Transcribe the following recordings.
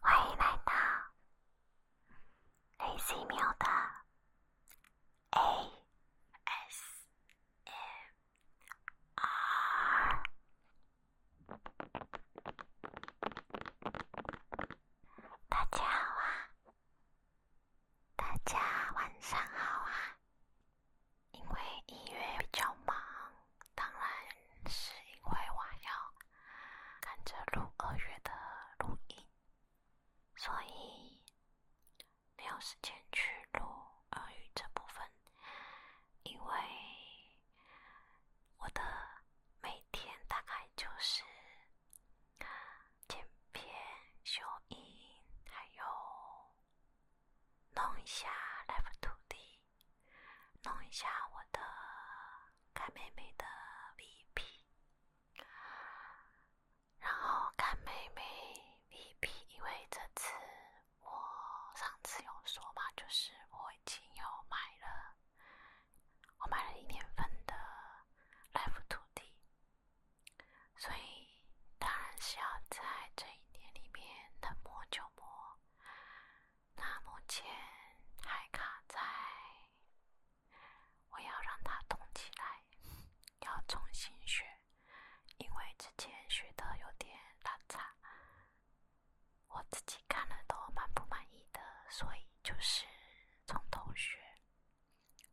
欢迎来到 A S M。二，大家好，大家晚上好啊。因为一月比较忙，当然是因为我要赶着录二月的录音，所以。没有时间去录日语这部分，因为我的每天大概就是剪片、修音，还有弄一下 Life t o D，弄一下我的看妹妹的 VP，然后看妹妹 VP，因为这次。我上次有说嘛，就是我已经有买了，我买了一年份的 Life 土地，所以当然是要在这一年里面能磨就磨。那目前还卡在，我要让它动起来，要重新学。因为之前学的有点拉差，我自己看了都蛮不满意的，所以就是从头学。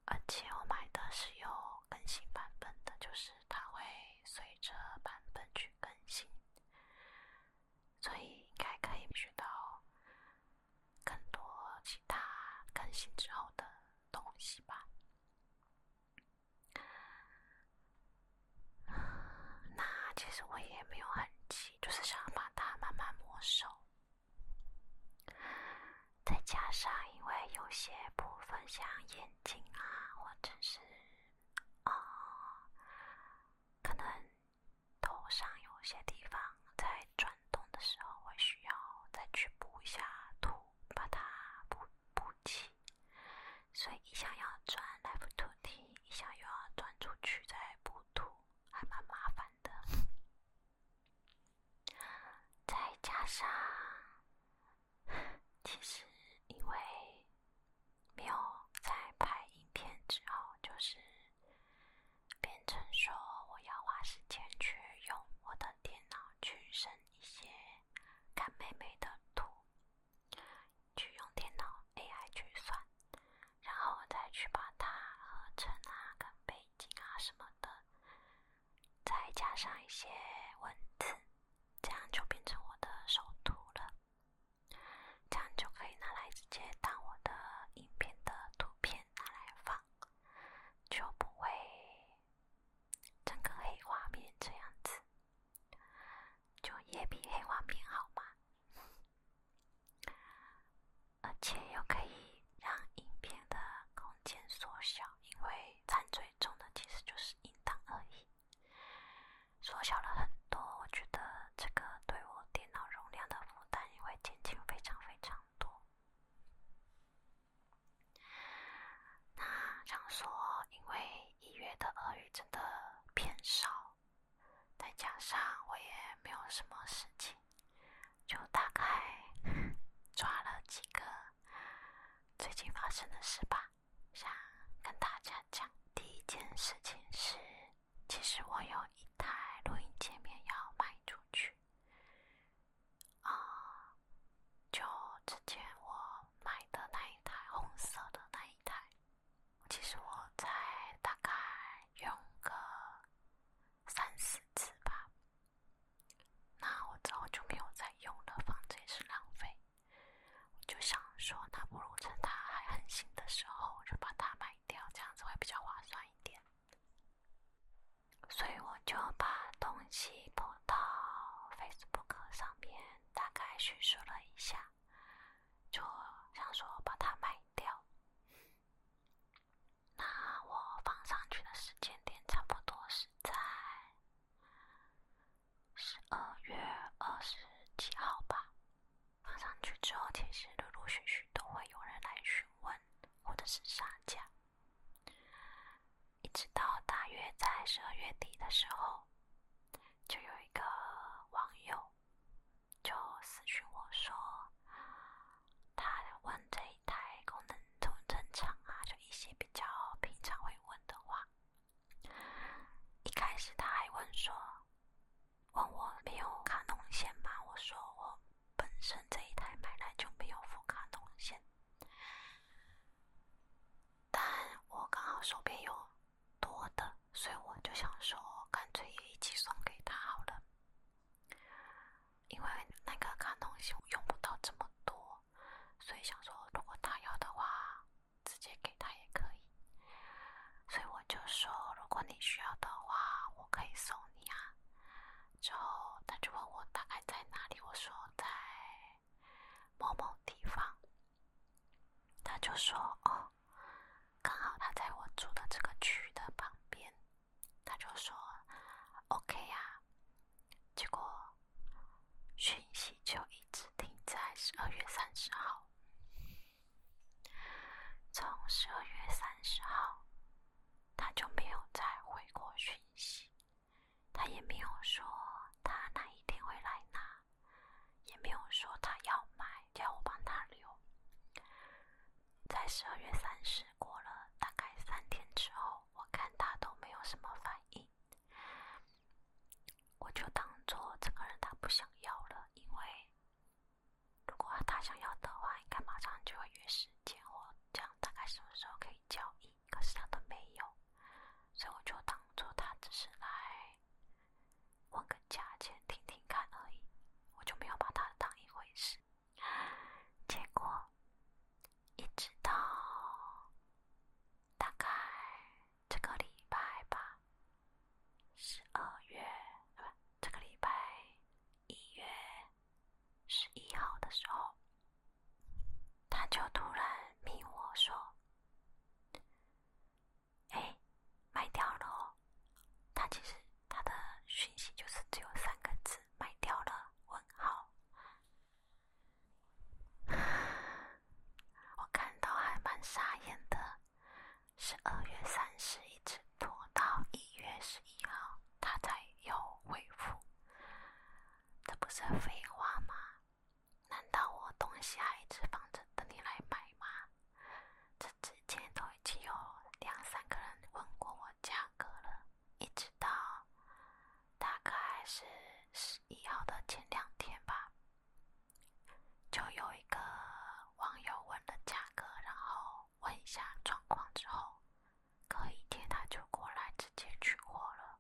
而且我买的是有更新版本的，就是它会随着版本去更新，所以应该可以学到更多其他更新之后的东西吧。那其实我也没有很急，就是想把它慢慢磨熟。再加上，因为有些部分像眼睛啊，或者是哦，可能头上有些地方在转动的时候，会需要再去补一下图，把它补补。气，所以一想要钻来补 o t，一想又要转出去再补图，还蛮麻烦的。再加上，其实因为没有在拍影片之后，就是变成说我要花时间去用我的电脑去升一些看妹妹的图。去用电脑 AI 去算，然后我再去把它合成啊、跟背景啊什么的，再加上一些文字，这样就变成我的首图了。这样就可以拿来直接当我的影片的图片拿来放，就不会整个黑画面这样子。就也比黑画面好嘛，而且又可以让影片的空间缩小，因为占最重的其实就是音档而已，缩小了很多。我觉得这个对我电脑容量的负担也会减轻非常非常多。那想说，因为一月的俄语真的偏少，再加上我也没有什么事情，就大概 抓了几个最近发生的事吧，想跟大家讲。第一件事情是，其实我有一台录音界面要卖出去啊。就之前我买的那一台红色的那一台，其实我才大概用个三四次吧，那我早就没有再用了，反正也是浪费。我就想说，那不如趁它还很新的时候就把它卖掉，这样子会比较划算一点。所以我就把东西拍到 Facebook 上面。大概叙述了一下，就想说把它卖掉。那我放上去的时间点差不多是在十二月二十几号吧。放上去之后，其实陆陆续续都会有人来询问，或者是杀架。一直到大约在十二月底的时候，就有一个网友就私讯我说，他问这一台功能正不正常啊？就一些比较平常会问的话。一开始他还问说，问我没有卡农线吗？我说我本身这一台买来就没有副卡农线。但我刚好手边有多的，所以我就想说，干脆也一起送给他好了。因为那个看东西用不到这么多，所以想说，如果他要的话，直接给他也可以。所以我就说，如果你需要的话，我可以送你啊。之后他就问我大概在哪里，我说在。某某地方，他就说：“哦，刚好他在我住的这个区的旁边。”他就说：“OK 啊。”结果讯息就一直停在十二月三十号，从十二月三十号他就没有再回过讯息。他也没有说他哪一天会来拿，也没有说他要买，叫我帮他留。在十二月三十过了，大概三天之后，我看他都没有什么反应，我就当做这个人他不想要了。因为如果他想要的话，应该马上就会约时间，我这样大概什么时候可以。交易，可是他都没有，所以我就当做他只是来问个价钱，听听看而已，我就没有把他当一回事。结果，一直到大概这个礼拜吧，十二月不，这个礼拜一月十一号的时候。他就突然明我说：“哎，卖掉了。”他其实他的讯息就是只有三个字：“卖掉了。”问号。我看到还蛮傻眼的。十二月三十一直拖到一月十一号，他才有回复。这不是废话吗？难道我东西还一直放着等你来买吗？这之前都已经有两三个人问过我价格了，一直到大概是十一号的前两天吧，就有一个网友问了价格，然后问一下状况之后，隔一天他就过来直接取货了。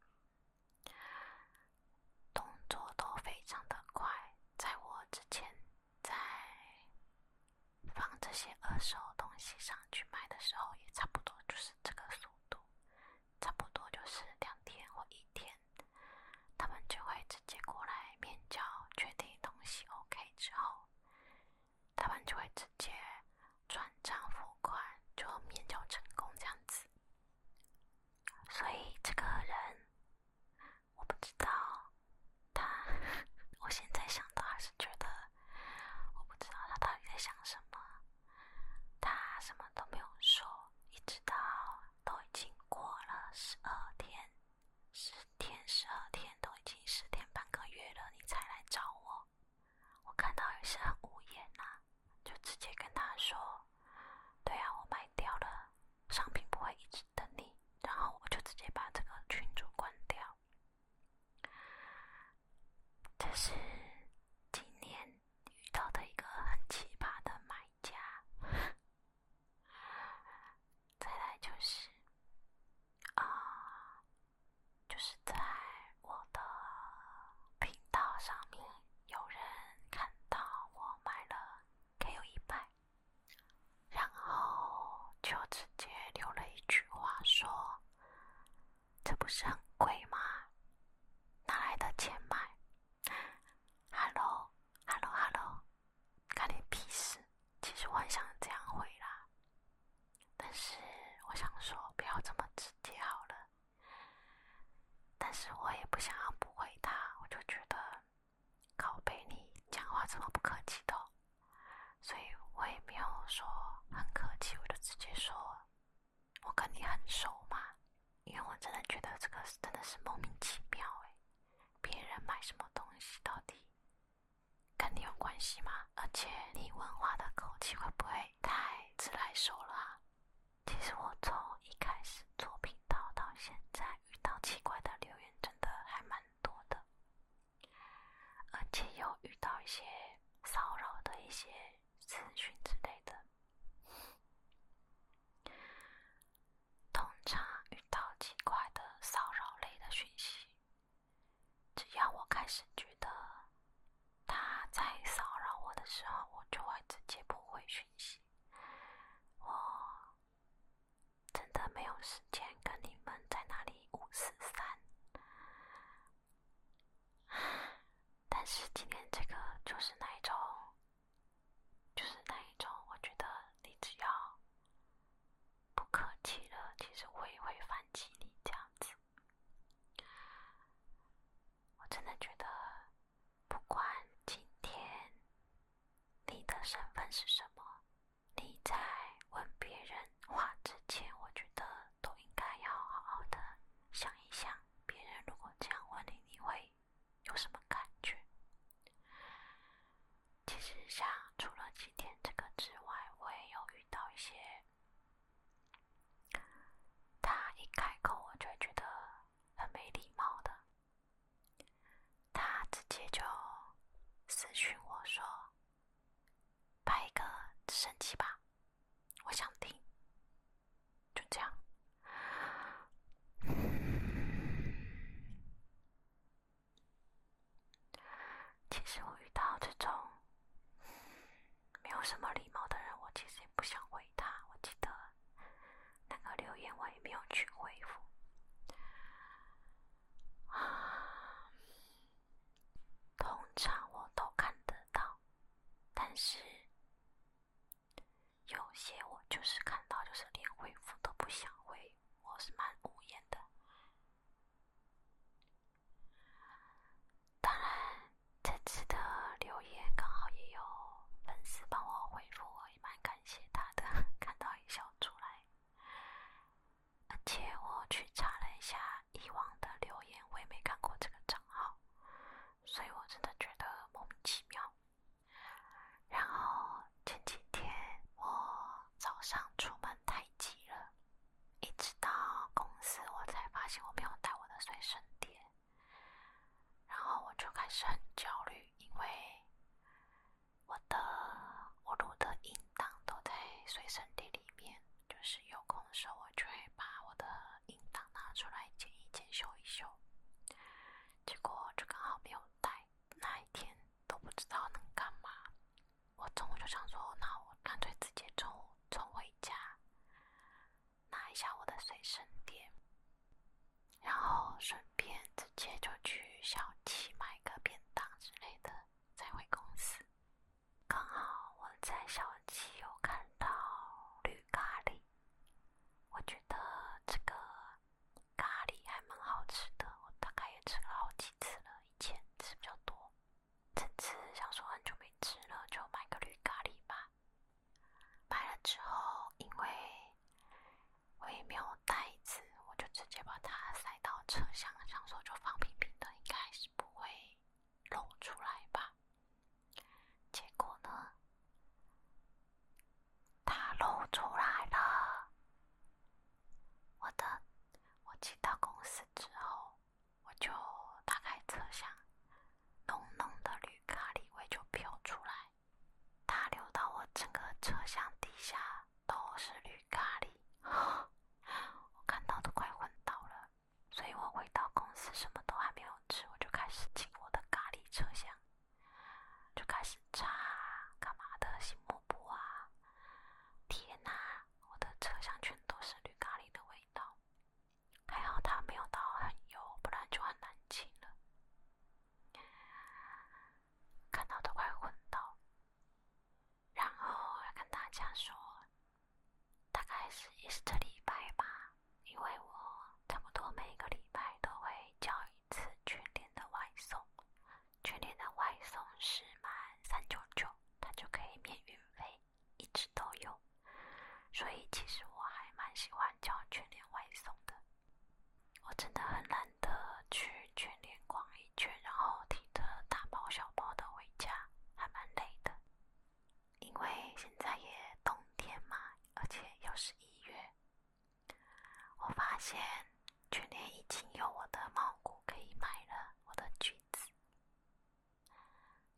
动作都非常的快，在我之前在放这些二手东西上去卖的时候，也差不多就是这个速度，差不多就是两天或一天，他们就会直接过来面交，确定东西 OK 之后，他们就会直接转账付款，就面交成功这样子。所以这个人，我不知道他。我现在想到还是觉得，我不知道他到底在想什么。他什么都没有说，一直到都已经过了十二天，十天、十二天都已经十天半个月了，你才来找我。我看到也是很无言呐。就直接跟他说：“对啊，我卖掉了，商品不会一直等你。”然后我就直接把这个群主关掉。这是今年遇到的一个很奇葩的买家。再来就是啊，就是在我的频道上面。有人看到我买了，给有一百，然后就直接留了一句话说：“这不是很贵吗？哪来的钱买哈喽，哈喽，哈喽，e l 看你屁事。”其实我很想这样回啦，但是我想说不要这么直接好了。但是我也不想要不回他，我就觉得，拷贝你讲话这么不客气的，所以我也没有说很客气，我就直接说，我跟你很熟嘛，因为我真的觉得这个真的是莫名其妙诶，别人买什么东西到底，跟你有关系吗？而且你问话的口气会不会太自来熟了啊？其实我从一开始做频道到现在，遇到奇怪的留言真的还蛮多的，而且有遇到一些骚扰的一些资讯之类的。通常遇到奇怪的骚扰类的讯息，只要我开始觉得。他在骚扰我的时候，我就会直接不回讯息。我真的没有时间跟你们在那里五、四、三。但是今天这个就是那一种，就是那一种，我觉得你只要不客气了，其实我也会放弃你这样子。我真的觉得。不管今天你的身份是什么，你在问别人话之前，我觉得都应该要好好的想一想，别人如果这样问你，你会有什么感觉？其实，像除了今天这个之外，我也有遇到一些，他一开口，我就会觉得。很没礼貌的，他直接就私讯我说：“拍一个直升机吧，我想听。”就这样。其实我遇到这种。没有什么礼貌的人，我其实也不想回他。我记得那个留言，我也没有去回复。啊，通常我都看得到，但是有些我就是看到，就是连回复都不想回，我是蛮无言的。当然。这次的留言刚好也有粉丝帮我回复，我也蛮感谢他的，看到一笑出来。而且我去查了一下以往的留言，我也没看过这个账号，所以我真的觉得莫名其妙。然后前几天我早上出门太急了，一直到公司我才发现我没有带我的随身碟。然后我就开始很焦虑，因为我的我录的音档都在随身碟里面，就是有空的时候我就会把我的音档拿出来剪一剪、修一修。结果就刚好没有带，那一天都不知道能干嘛。我中午就想说，那我干脆直接中午走回家。拿一下我的随身碟，然后顺便直接就去小七买个便当之类的，再回公司。刚好我在小七有看到绿咖喱，我觉得这个咖喱还蛮好吃的，我大概也吃了好几次了，以前吃比较多，这次想说很久没吃了，就买个绿咖喱吧。买了之后，因为我也没有袋子，我就直接把它塞到车厢上，说就放平平的，应该是不会露出来吧。结果呢，它露出来了。我的，我进到公司之后，我就打开车厢。浓浓的绿咖喱味就飘出来，它流到我整个车厢底下都是绿咖喱，我看到都快昏倒了。所以我回到公司，什么都还没有吃，我就开始进我的咖喱车厢，就开始擦干嘛的，洗抹布啊！天哪，我的车厢全都是绿咖喱的味道。还好他没有到很油，不然就很难清了。看到都快昏倒。然后要跟大家说，大概是也是这礼拜吧，因为我差不多每个礼拜都会交一次全店的外送，全店的外送是满三九九，它就可以免运费，一直都有。所以其实我还蛮喜欢叫全连外送的，我真的很懒得去全连逛一圈，然后提着大包小包的回家，还蛮累的。因为现在也冬天嘛，而且又是一月，我发现全连已经有我的猫谷可以买了，我的橘子。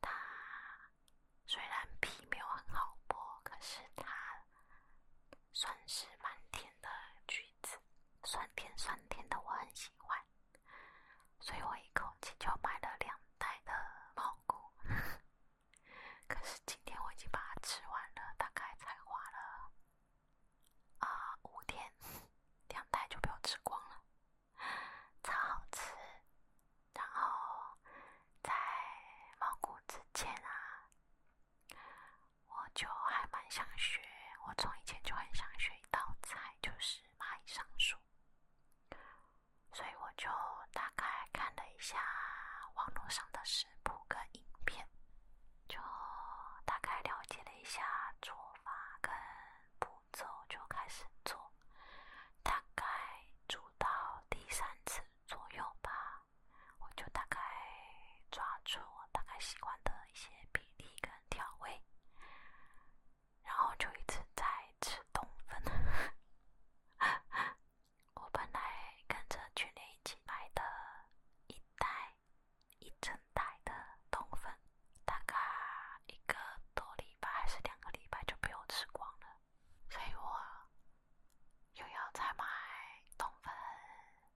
它虽然皮没有很好剥，可是它算是蛮甜的橘子，酸甜酸甜的，我很喜欢，所以我一口气就买了两袋的泡谷。可是今天我已经把它吃完了，大概才花了啊五天，两袋就被我吃光了，超好吃。然后在蒙古之前啊，我就还蛮想学，我从以前就很想学一道菜，就是蚂蚁上树。所以我就大概看了一下网络上的食谱跟影片，就大概了解了一下做法跟步骤，就开始做。大概煮到第三次。左右吧，我就大概抓住我大概喜欢的一些比例跟调味，然后就一直在吃冬粉。我本来跟着去年一起买的，一袋一整袋的冬粉，大概一个多礼拜还是两个礼拜就被我吃光了。所以我又要再买冬粉，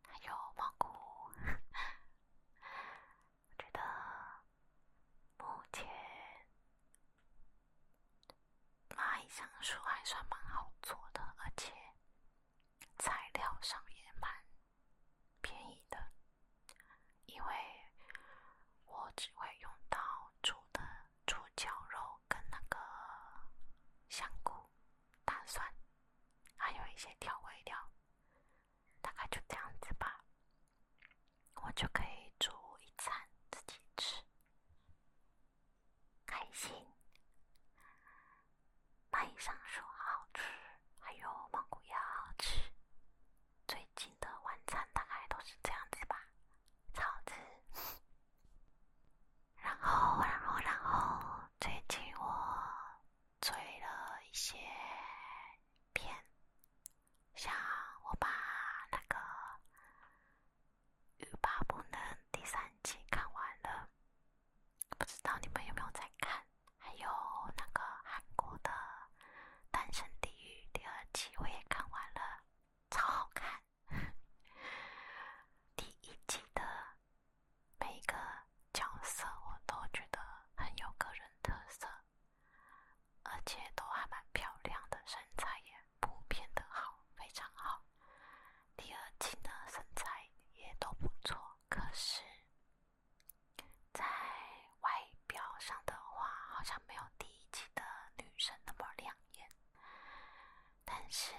还有蘑菇。我觉得目前蚂蚁上树还算蛮好做的，而且材料上也蛮便宜的，因为我只会用到煮的。煮脚肉跟那个香菇、大蒜，还有一些调味料，大概就这样子吧。我就可以煮一餐自己吃，开心。麦上说好吃，还有芒果也好吃。最近的晚餐大概都是这样子吧，超值。然后，然后，然后，最近我追了一些片，像我把那个《欲罢不能》第三季看完了，不知道你们有没有在看？还有那个韩国的《单身地狱》第二季，我也看完了，超好看。第一季的每个角色我都觉得很有个人特色，而且都还蛮漂亮的身材也普遍的好，非常好。第二季的身材也都不错，可是在外表上的话，好像没有第一季的女生那么亮。演，但是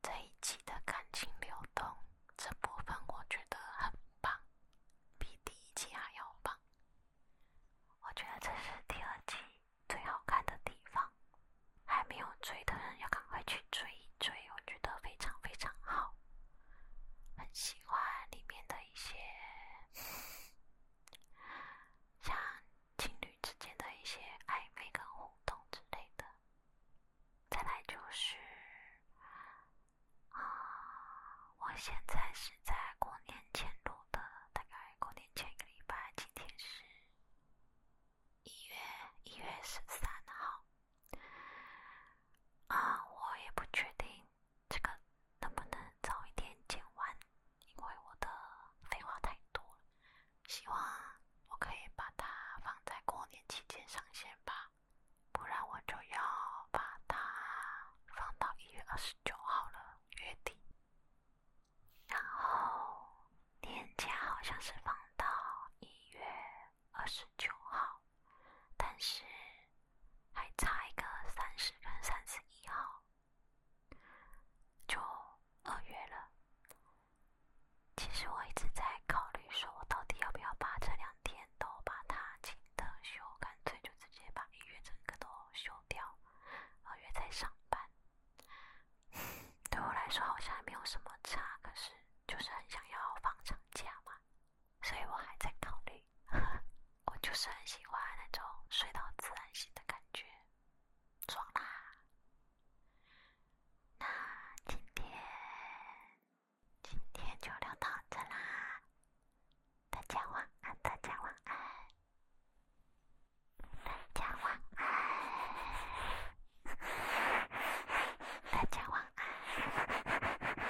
这一季的感情流动这部分我觉得很棒，比第一季还要棒。我觉得这是第二季最好看的地方，还没有追的人要赶快去追一追，我觉得非常非常好，很喜欢里面的一些像。情侣之间的一些暧昧跟互动之类的。再来就是，啊，我现在是在过年前录的，大概过年前一个礼拜。今天是一月一月十三号，啊，我也不确定这个能不能早一点剪完。因为我的废话太多了，希望我可以把它放在过年期间上线吧，不然我就要把它放到一月二十九号了，月底。然后年假好像是放到一月二十九号，但是还差一个三十跟三十一号。就二月了，其实我一直在考虑，说我到底要不要把这两天都把它请的休，干脆就直接把一月整个都休掉，二月在上班。对我来说好像没有什么差，可是就是很想要放长假嘛，所以我还在考虑。我就是很喜欢那种睡到自然醒的感觉。走啦，那今天今天就聊到这啦，大家晚安，大家晚安，大家晚安，大家晚安。